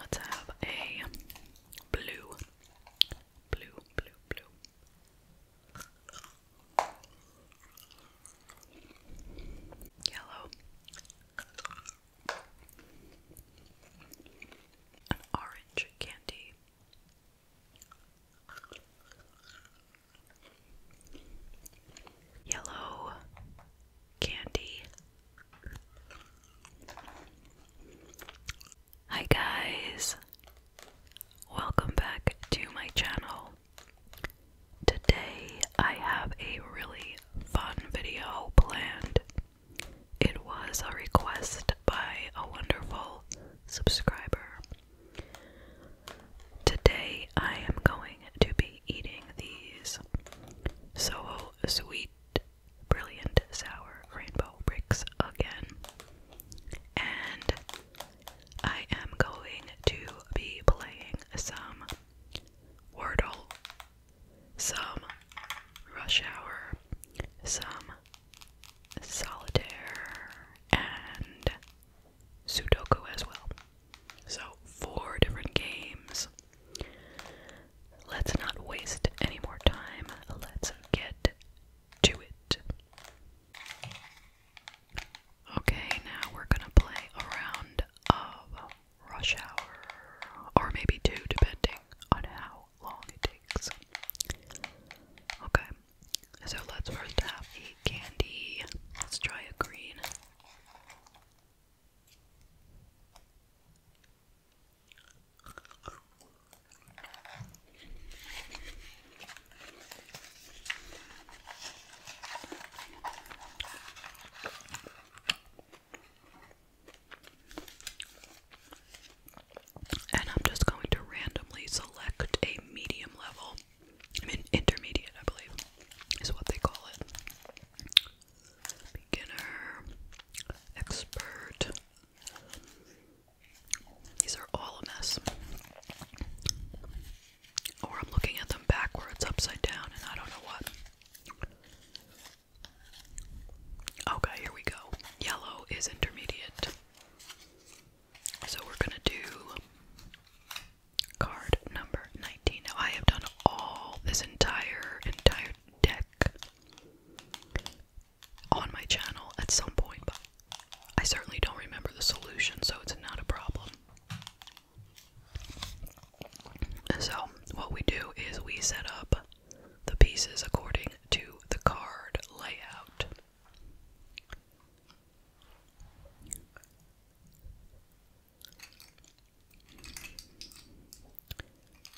Let's have a blue, blue, blue, blue, yellow, an orange candy. Yellow candy. Hi, guys, welcome back to my channel. Today, I have a really fun video planned. It was a request by a wonderful subscriber. Today, I am going to be eating these Soho Sweet Brilliant Sour Rainbow Bricks again. And I am going to be playing some Wordle, some Rush Hour, some Solitaire, and Sudoku as well. So, four different games Let's not waste any more time. Let's get to it. Okay, now we're gonna play a round of rush hour, or maybe two, depending on how long it takes. Okay, so let's first have a candy. Let's try a green. I'm just going to randomly select a medium level. I mean, intermediate, I believe, is what they call it beginner, expert. These are all a mess. Or I'm looking at them backwards, upside down, and I don't know what. Okay, here we go. Yellow is intermediate. So we're gonna do card number 19. Now I have done all this entire entire deck on my channel at some point, but I certainly don't remember the solution, so it's not a problem. So, what we do is we set up the pieces according to the card layout.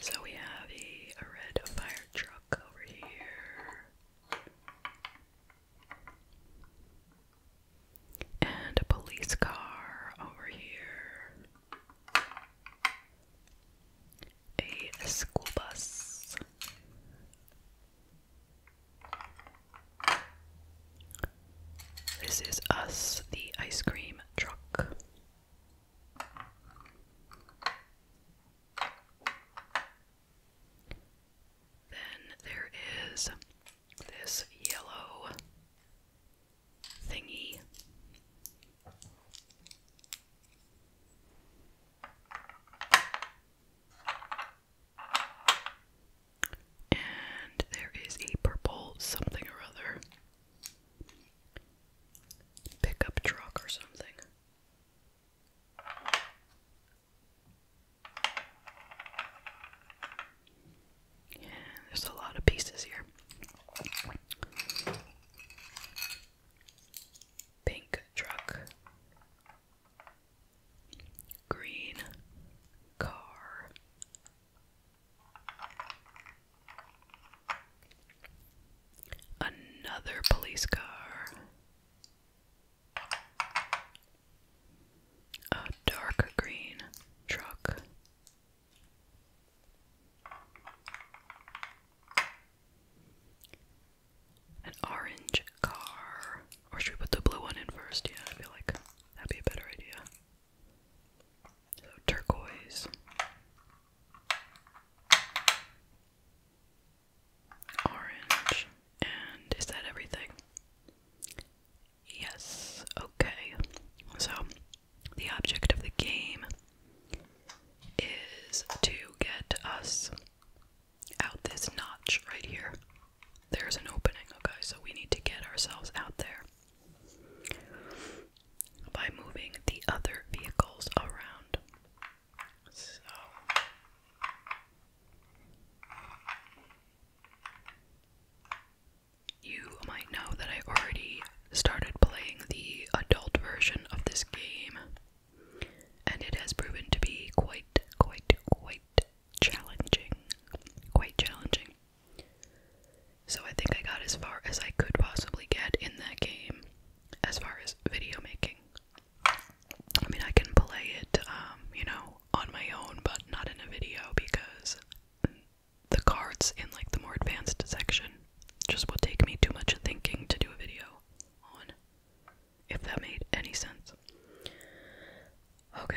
So we have a, a red fire truck over here. And a police car over here. A school bus. This is us, the ice cream truck. Then there is this yellow thingy. And there is a purple something or other pickup truck or something. Yeah, there's a lot of pieces here. Pink truck, green car, Another police car. A dark green truck. An orange car. Or should we put the blue one in first? Yeah, I feel like that'd be a better idea. So turquoise. Orange. And is that everything? Yes. Okay. So, the object of the game is to get us out this notch right here. There's an opening, okay, so we need to get ourselves out there by moving the other vehicles around. So you might know that I already started playing the adult version of this game, and it has proven to be quite, quite, quite challenging. Quite challenging. So I think I got as far as I could possibly get in that game, as far as video making. I mean, I can play it, um, you know, on my own, but not in a video because the cards in like the more advanced section just will take me too much thinking to do a video on. If that made any sense. Okay.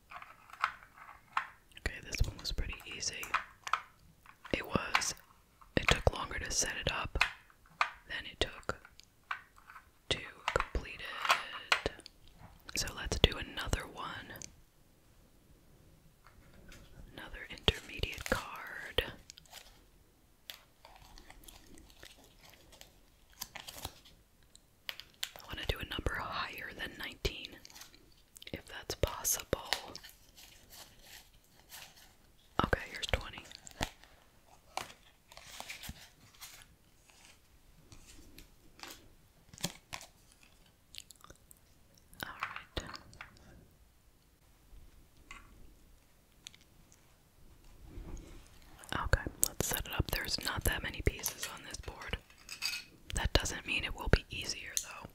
Okay, this one was pretty easy. It was. It took longer to set it up than it took to complete it. So let's do another one. Another intermediate card. I want to do a number higher than 19 if that's possible. Okay, here's 20. All right. Okay, let's set it up. There's not that many pieces on this board. That doesn't mean it will be easier, though.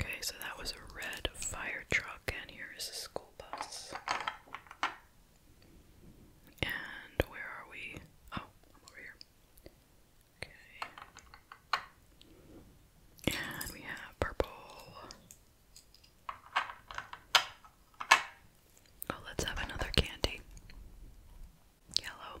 Okay, so that was a red fire truck, and here is a school bus. And where are we? Oh, over here. Okay. And we have purple. Oh, let's have another candy. Yellow.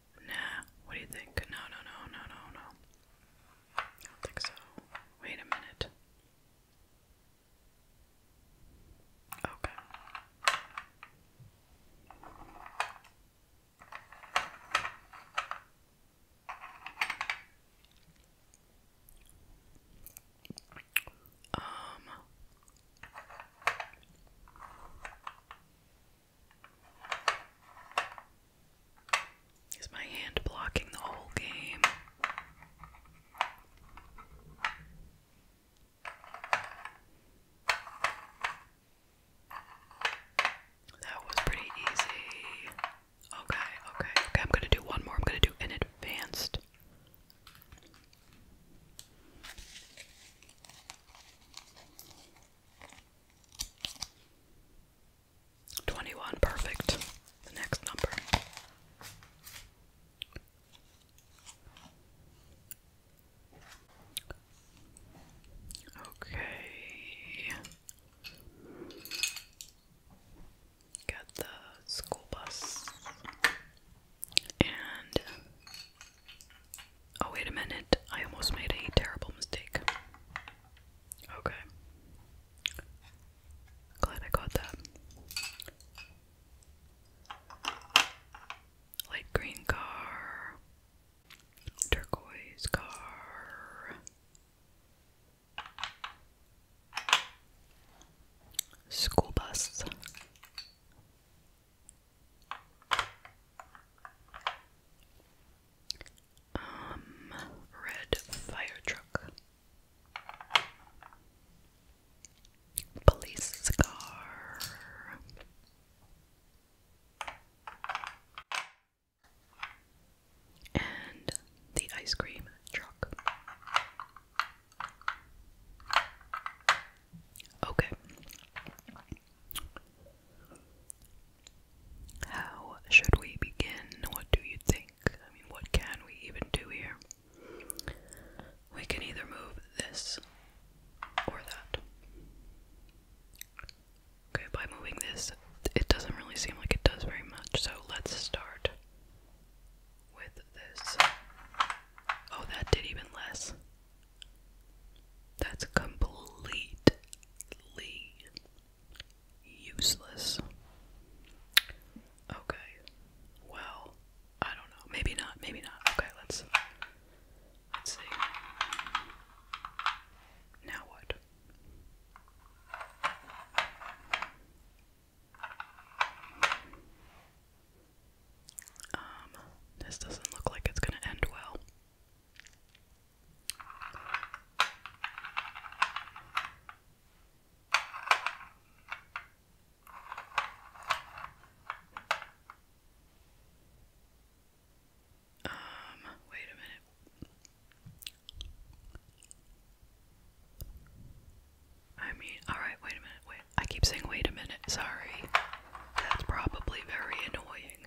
Nah, what do you think? No, no, no, no, no, no. I don't think so. Wait a minute. Okay. Um is my hand blocking the whole game? That was pretty easy. Okay, okay, okay. I'm gonna do one more. I'm gonna do an advanced. 21, perfect. The next number. Okay. Got the school bus. And. Oh, wait a minute. I almost made a terrible mistake. Okay. Glad I got that. Light green car, turquoise car, school bus. Um, red fire truck. Police car. And the ice cream truck. Okay. How should we begin? What do you think? I mean, what can we even do here? We can either move this or that. Okay, by moving this, it doesn't really seem like it does very much, so let's start with this. Oh, that did even less. That's completely useless. Okay. Well, I don't know. Maybe not. Maybe not. Okay, let's let's see. Now what? Um, this doesn't look like it's going to end well. Um, wait a minute. I mean, alright, wait a minute, wait. I keep saying wait a minute, sorry. That's probably very annoying.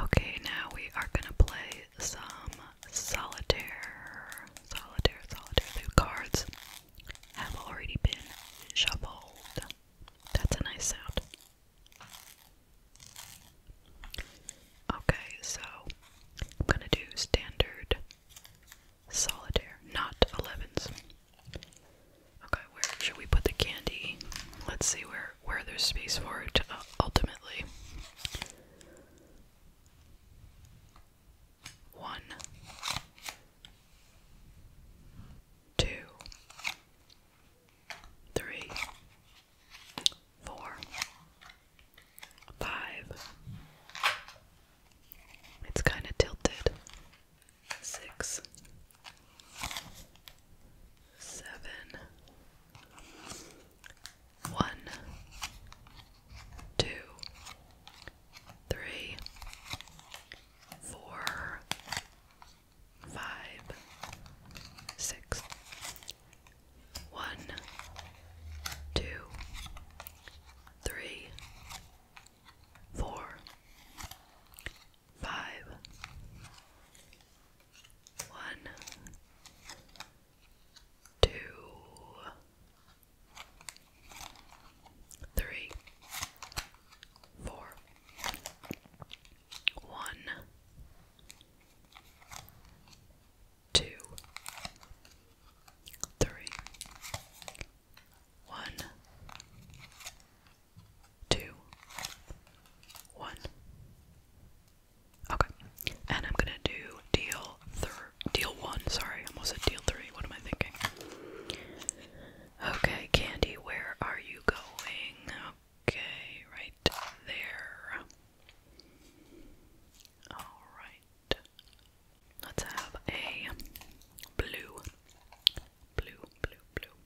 Okay, now we are gonna play some solitaire, solitaire, solitaire. The cards have already been shuffled. That's a nice sound. Okay, so I'm gonna do standard solitaire, not 11s. Okay, where should we put the candy? Let's see where where there's space for it uh, ultimately. One, two, three, four, five. It's kind of tilted. Six, seven, one, two, three, four, five, six, one, two, three, four, five, one, two, three, four, one, two, three, one, two, one. Okay, and I'm gonna do deal thir deal one. Sorry, I almost at deal three. What am I thinking? Okay, Candy, where are you going? Okay, right there. All right, let's have a blue, blue, blue, blue,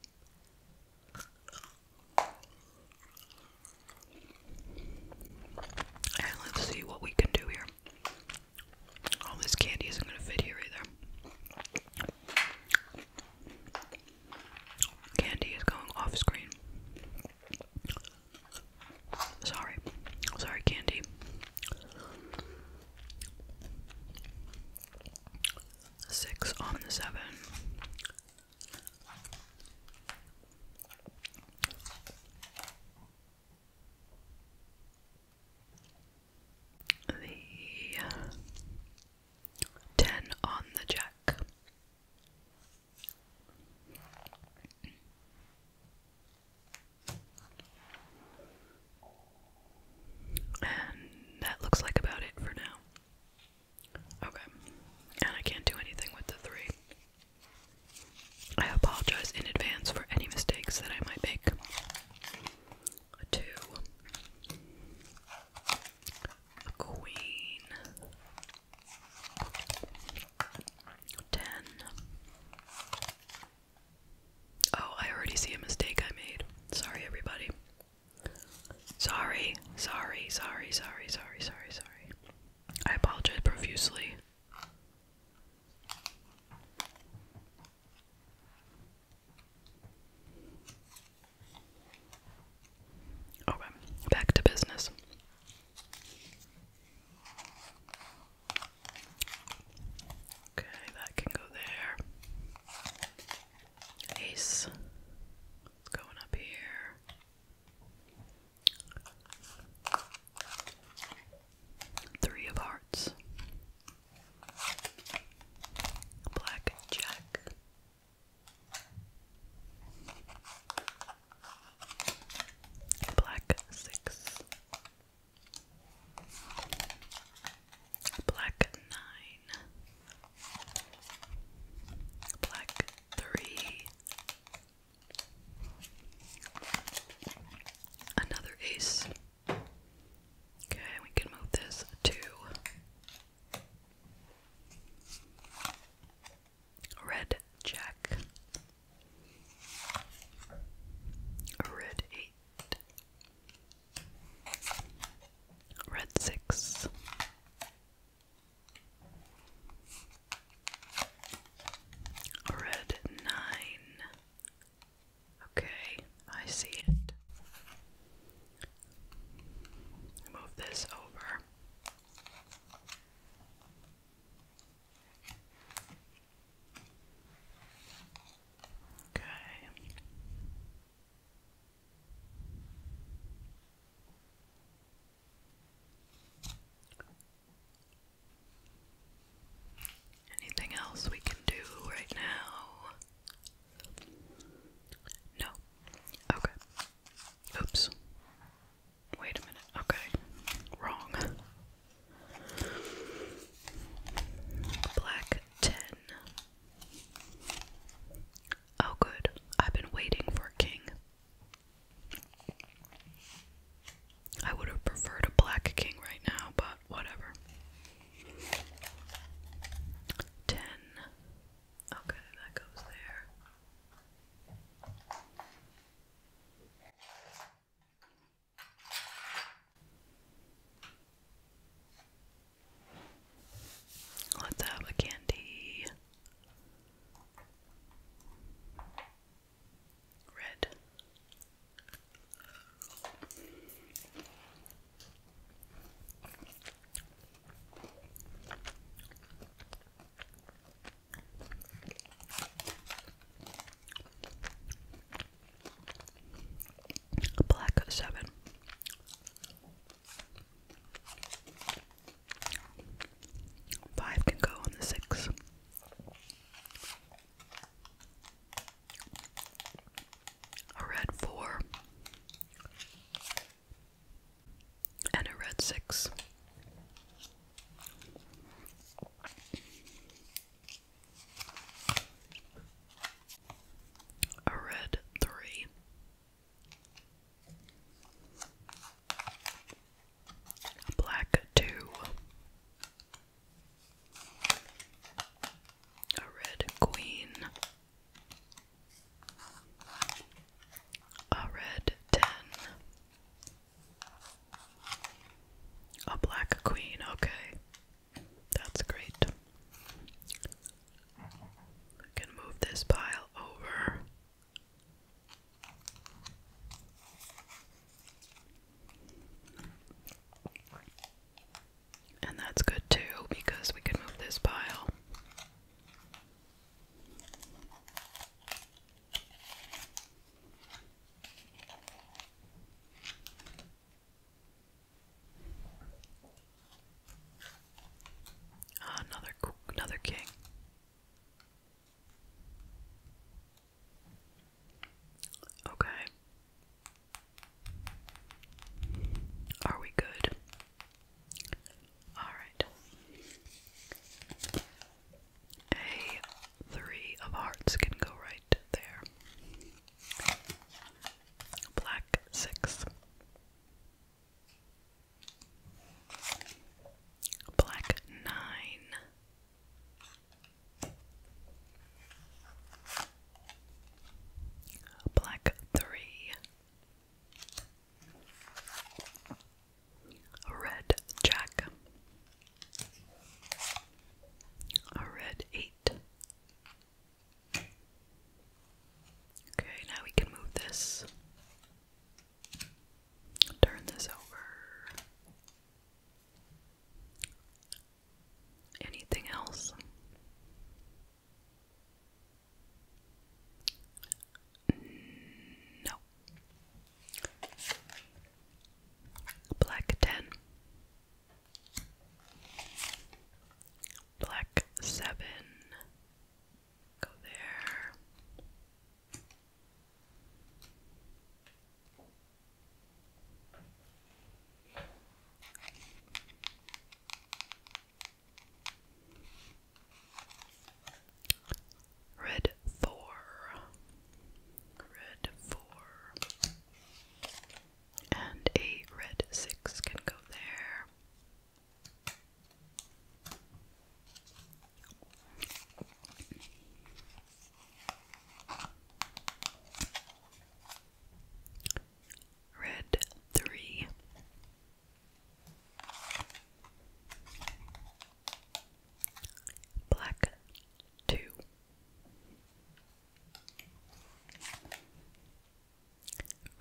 let's see what we can do here. All this candy isn't going to fit here either. Candy is going off screen. Sorry. Sorry, Candy. Six on the seven. The uh, ten on the jack. And that looks like about it for now. Okay. And I can't do anything with the three. I apologize in advance for any mistakes that I might make. A two. A queen. Ten. Oh, I already see a mistake I made. Sorry, everybody. Sorry, sorry, sorry, sorry, sorry, sorry, sorry. I apologize profusely. Okay, back to business. Okay, that can go there. Ace. What's going up here? Three of Hearts, Black Black Six, Black Nine, Black three. Another ace. Okay, we can move this to red jack. Red eight. Red six. Red nine. Okay, I see it. Move this over. Okay. Anything else we can do right now? No. Okay. Oops. Wait a minute. Okay. Wrong. Black 10. Oh, good. I've been waiting for King. I would have preferred a black king right now, but whatever. Ten. Okay, that goes there. Let's have a candy. Red. Black seven. Five can go on the six. A red four and a red six. A red three black two, a red queen, a red ten, a black queen. Okay, that's great. I can move this pile over. And that's good too because we can move this pile. Ah, another another king. Okay. Are we good? All right. A three of hearts can go right there. Black six. Black nine, black three, red jack, a red eight. Okay, now we can move this Turn this over. Anything else? No. Black 10. Black 7. Go there. Red Thor. Red four. And a red six can go there. Red three. Black two.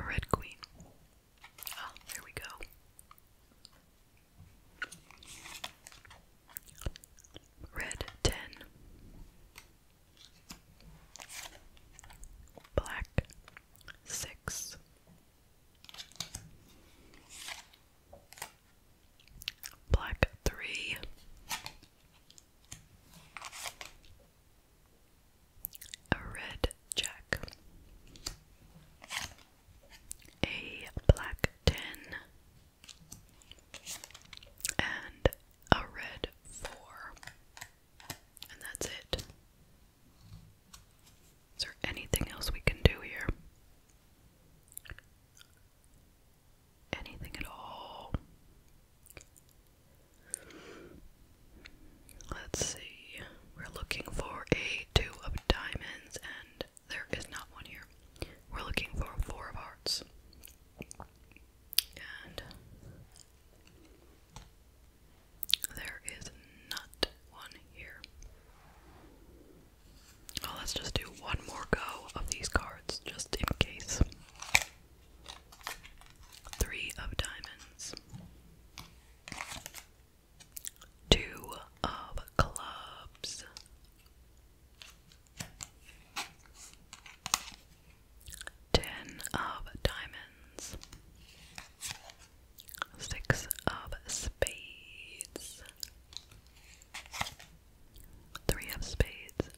Red Queen Oh, there we go. Red 10. Black 6. Black 3. A red jack a black ten, and a red four. And that's it. Is there anything else we can do here? Anything at all? Let's see. We're looking for a two of diamonds and there is not one here. We're looking for four of hearts. And there is not one here. Well, let's just do one more go of these cards just in case. Three of diamonds. Two of clubs. Ten of diamonds. Six of spades. Three of spades.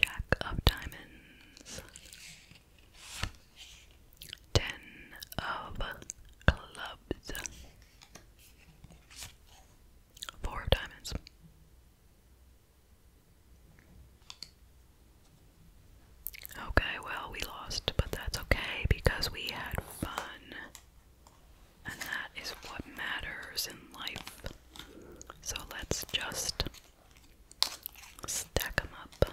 Jack of diamonds. Ten of clubs. Four diamonds. Okay, well, we lost, but that's okay because we had fun. And that is what matters in life. So let's just stack them up.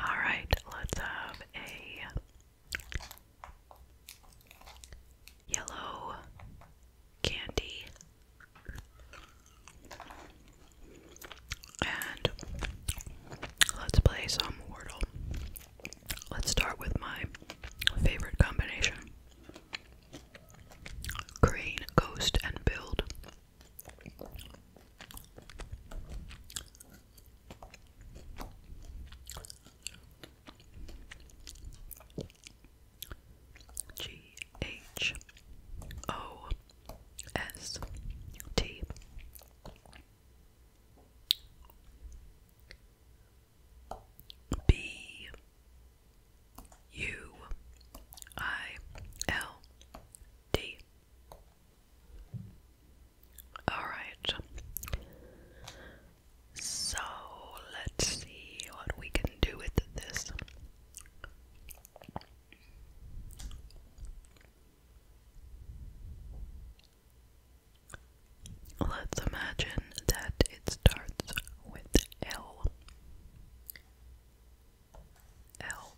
All right, let's have a yellow candy and let's play some Wordle. Let's start with my favorite combination. Crane, ghost, and build. G H O S T B U I L D. Alright. So let's see what we can do with this. Let's imagine that it starts with L L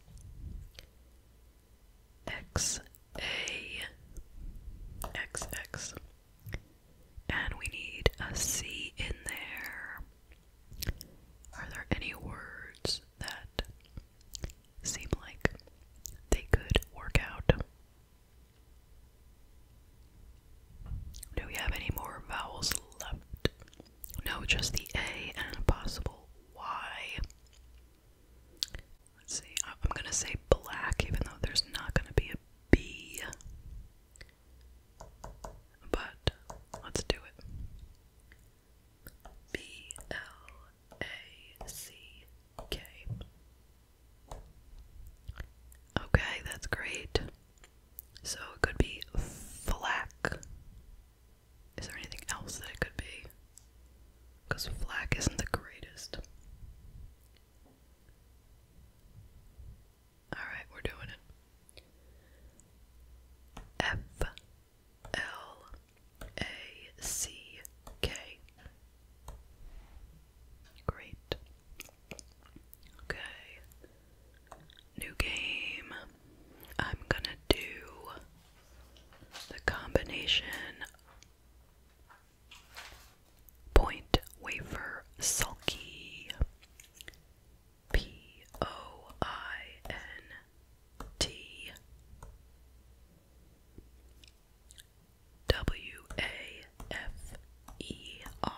X A X X. And we need a C in there. Are there any words that seem like they could work out? Do we have any more vowels left? No, just the A and a possible Y. Let's see, I'm gonna say black, even though there's not gonna be a B. But let's do it. B L A C K. Okay, that's great. So it could be flack. Is there anything else that it could be? Because Flack isn't the greatest. Alright, we're doing it. F L A C K. Great. Okay. New game. I'm gonna do the combination point wafer sulky. P O I N T W A F E R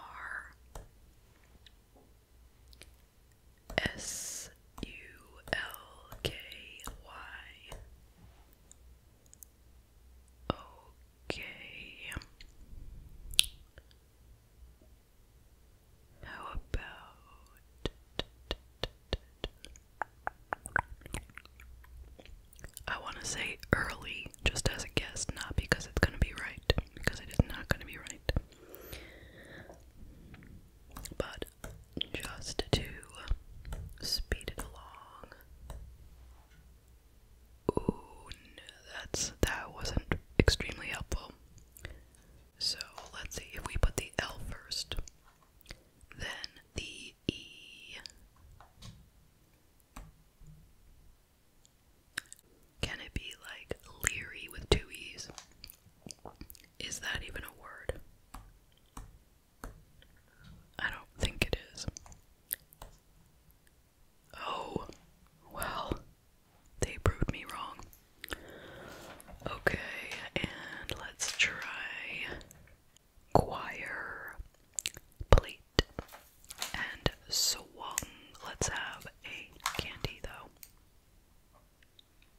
S U L K Y. How about I want to say early just as a guess, not because it's going to be right, because it is not going to be right. But just to speed it along. Ooh, that's that wasn't extremely helpful. So let's see if we put the L first, then the E. Can it be like leery with two E's? Is that even a word? I don't think it is. Oh, well, they proved me wrong. Okay, and let's try choir, plate, and swung. Let's have a candy though.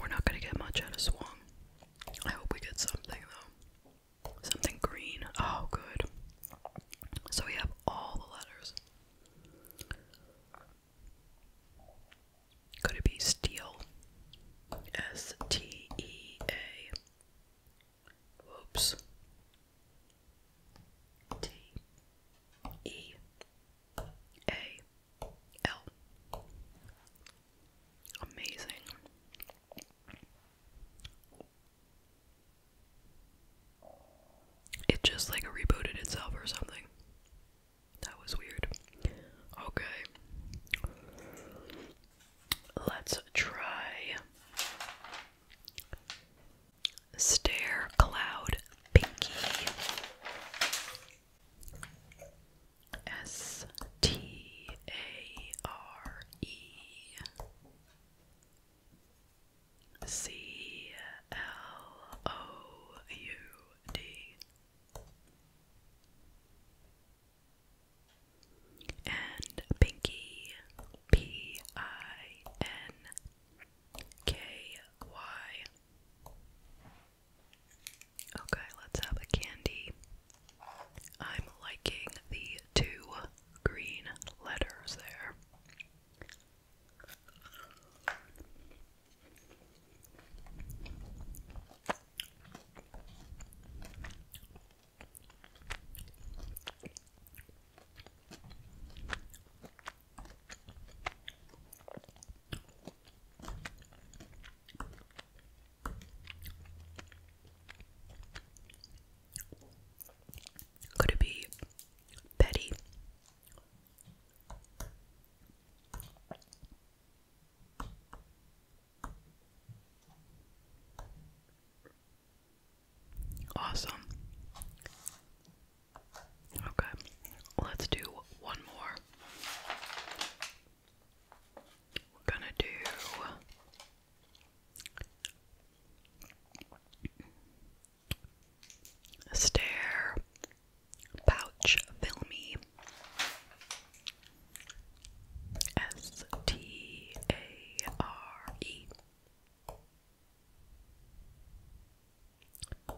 We're not gonna get much out of Swan. I hope we get something though. Something green. Oh, good. So we have all the letters. Could it be steel? S T E A. Oops. T E A L. Amazing. It just like rebooted itself or something. That was weird. Okay. Let's try Stare Cloud Pinky. S T A R E C L O U D and Pinky P I N K Y Okay, let's have a candy. I'm liking the two green letters there. Could it be Betty? Awesome. Okay, let's do one more. We're gonna do. stare pouch filmy S T A R E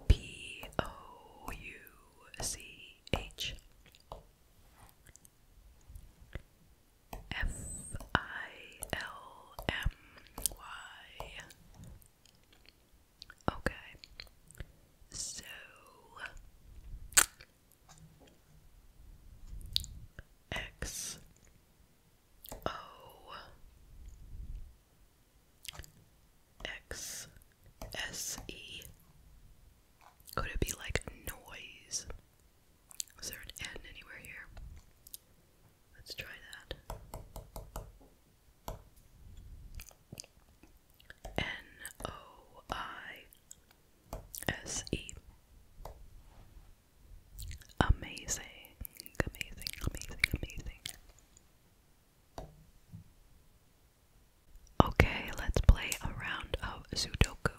P O U C H F I L M Y. Okay. So X O X S E. Could it be like noise? Is there an N anywhere here? Let's try that. N O I S E. Amazing, amazing, amazing, amazing. Okay, let's play a round of Sudoku.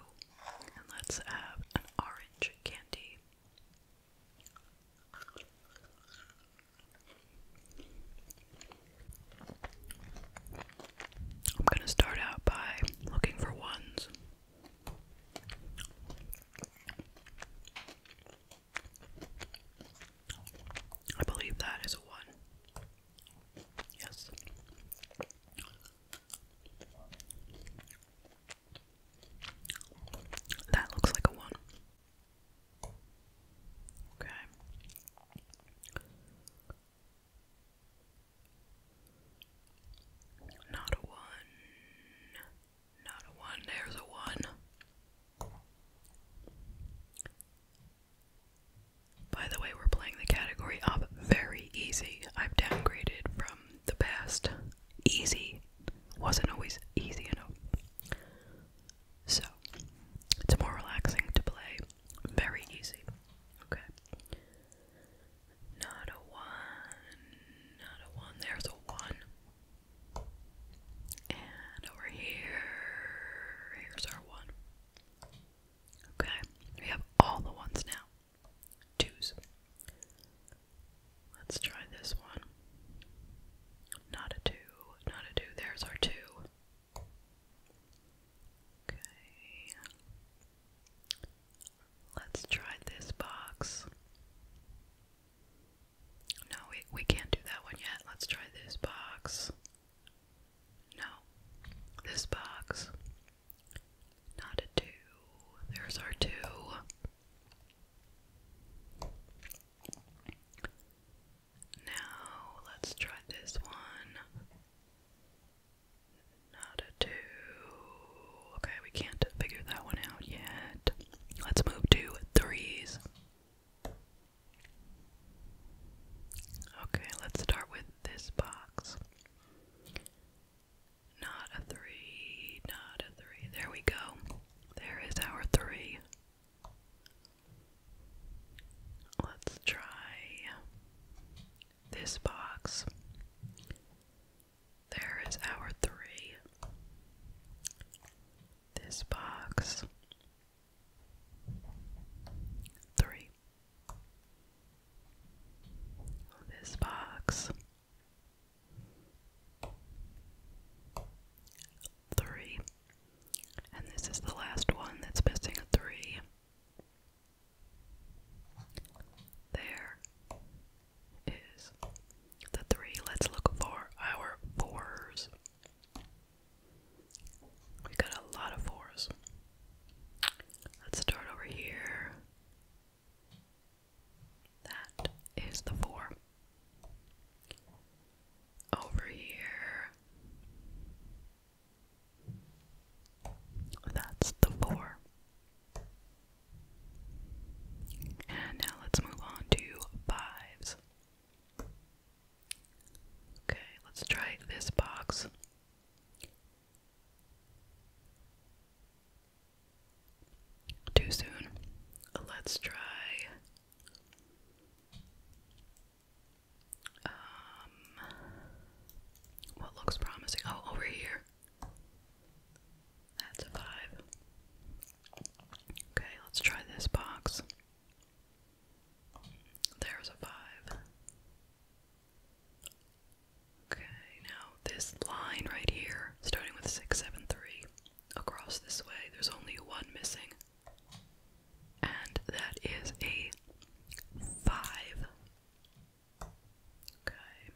And let's have an orange candy. I'm going to start out by looking for ones. I believe that is a one. Yes. That looks like a one. Okay. Not a one. Not a one. There's a one. By the way, we're playing the category up. very easy. I've downgraded from the past. Easy wasn't always easy enough. So, it's more relaxing to play. Very easy. Okay. Not a one. Not a one. There's a one. And over here, here's our one. Okay, we have all the ones now. Twos. Let's try this one. Not a two, not a two. There's our two. Okay. Let's try this box. No, we, we can't do that one yet. Let's try this box. No. This box. Not a two. There's our two. Now let's try this one. Not a two. Okay, we can't figure that one out yet. Let's move to threes. Okay, let's start with this box. Not a three, not a three. There we go. There is our three. Let's try this box. There is our three. This box. Three this box. Three. And this is the last one that's missing a three. There is the three. Let's look for our fours. We got a lot of fours. Let's start over here. That is the four. Over here. That's the four. And now let's move on to fives. Okay, let's try this box. Too soon. Let's try. Um, what looks promising? Oh, over here. That's a five. Okay, let's try this box. There's a five. Okay, now this line right here, starting with 673, across this way, there's only one missing. And that is a 5. Okay.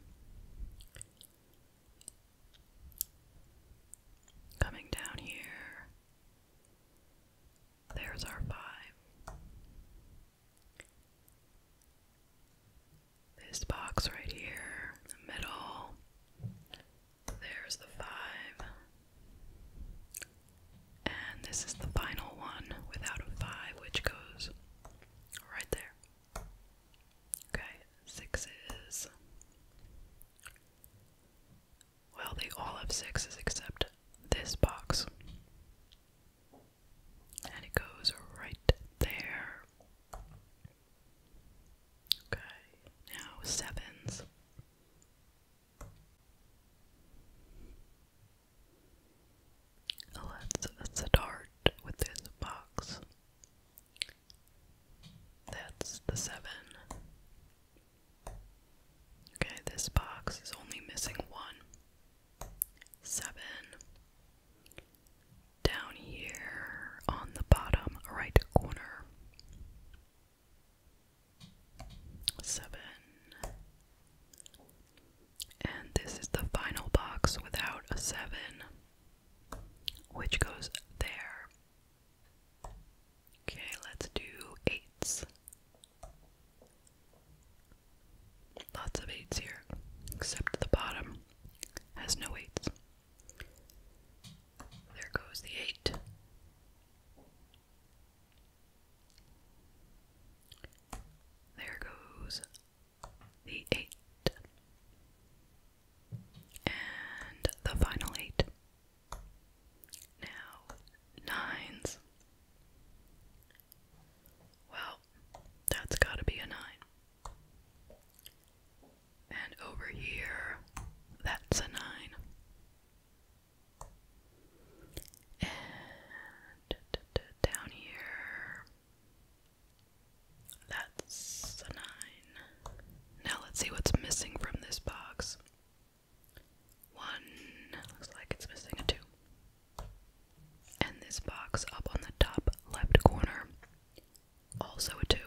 Coming down here. There's our 5. This box right here in the middle. There's the five. And this is the final one without a five, which goes right there. Okay, sixes. Well, they all have sixes except this box and it goes right there. Okay, now sevens. us start with this box. That's the seven. Okay, this box is only missing one seven. Down here on the bottom right corner. Seven. And this is the final box without a seven, which goes there. Okay, let's do eights. Lots of eights here, except the bottom has no eights. There goes the eight. There goes the eight. And the final eight. Now, nines. Well, that's gotta be a 9. And over here, that's a 9. And down here, that's a 9. Now let's see what's missing from this box. One looks like it's missing a two. And this box up on the top left corner, also a 2.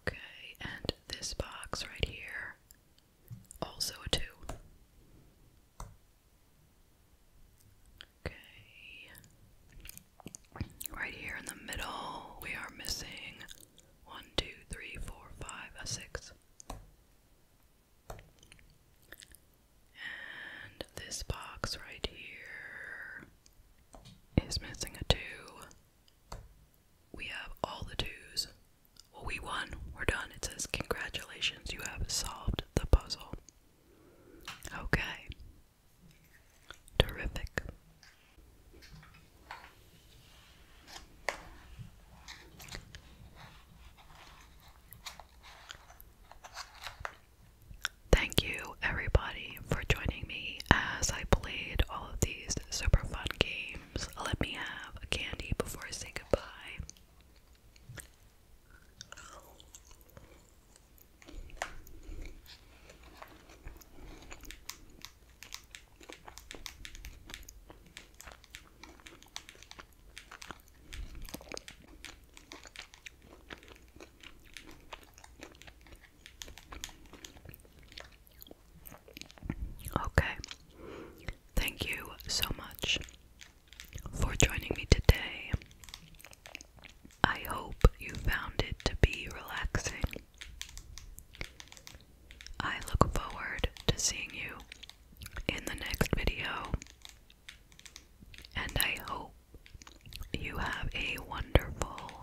Okay, and this box right here, also a 2. Okay. Right here in the middle, we are missing one, two, three, four, five, a 6. And this box right here is missing a two. We have all the twos. Well, we won. We're done. It says, Congratulations, you have solved the puzzle. Okay. Terrific. Thank you, everybody, for joining me as I played all of these super fun games. Let me have a candy before I say goodbye. Okay. Thank you so much for joining me today. I hope you found it to be relaxing. I look forward to seeing you in the next video. And I hope you have a wonderful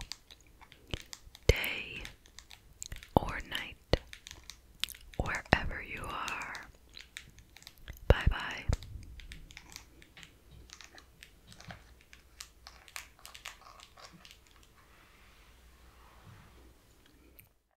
day or night wherever you are. Bye bye.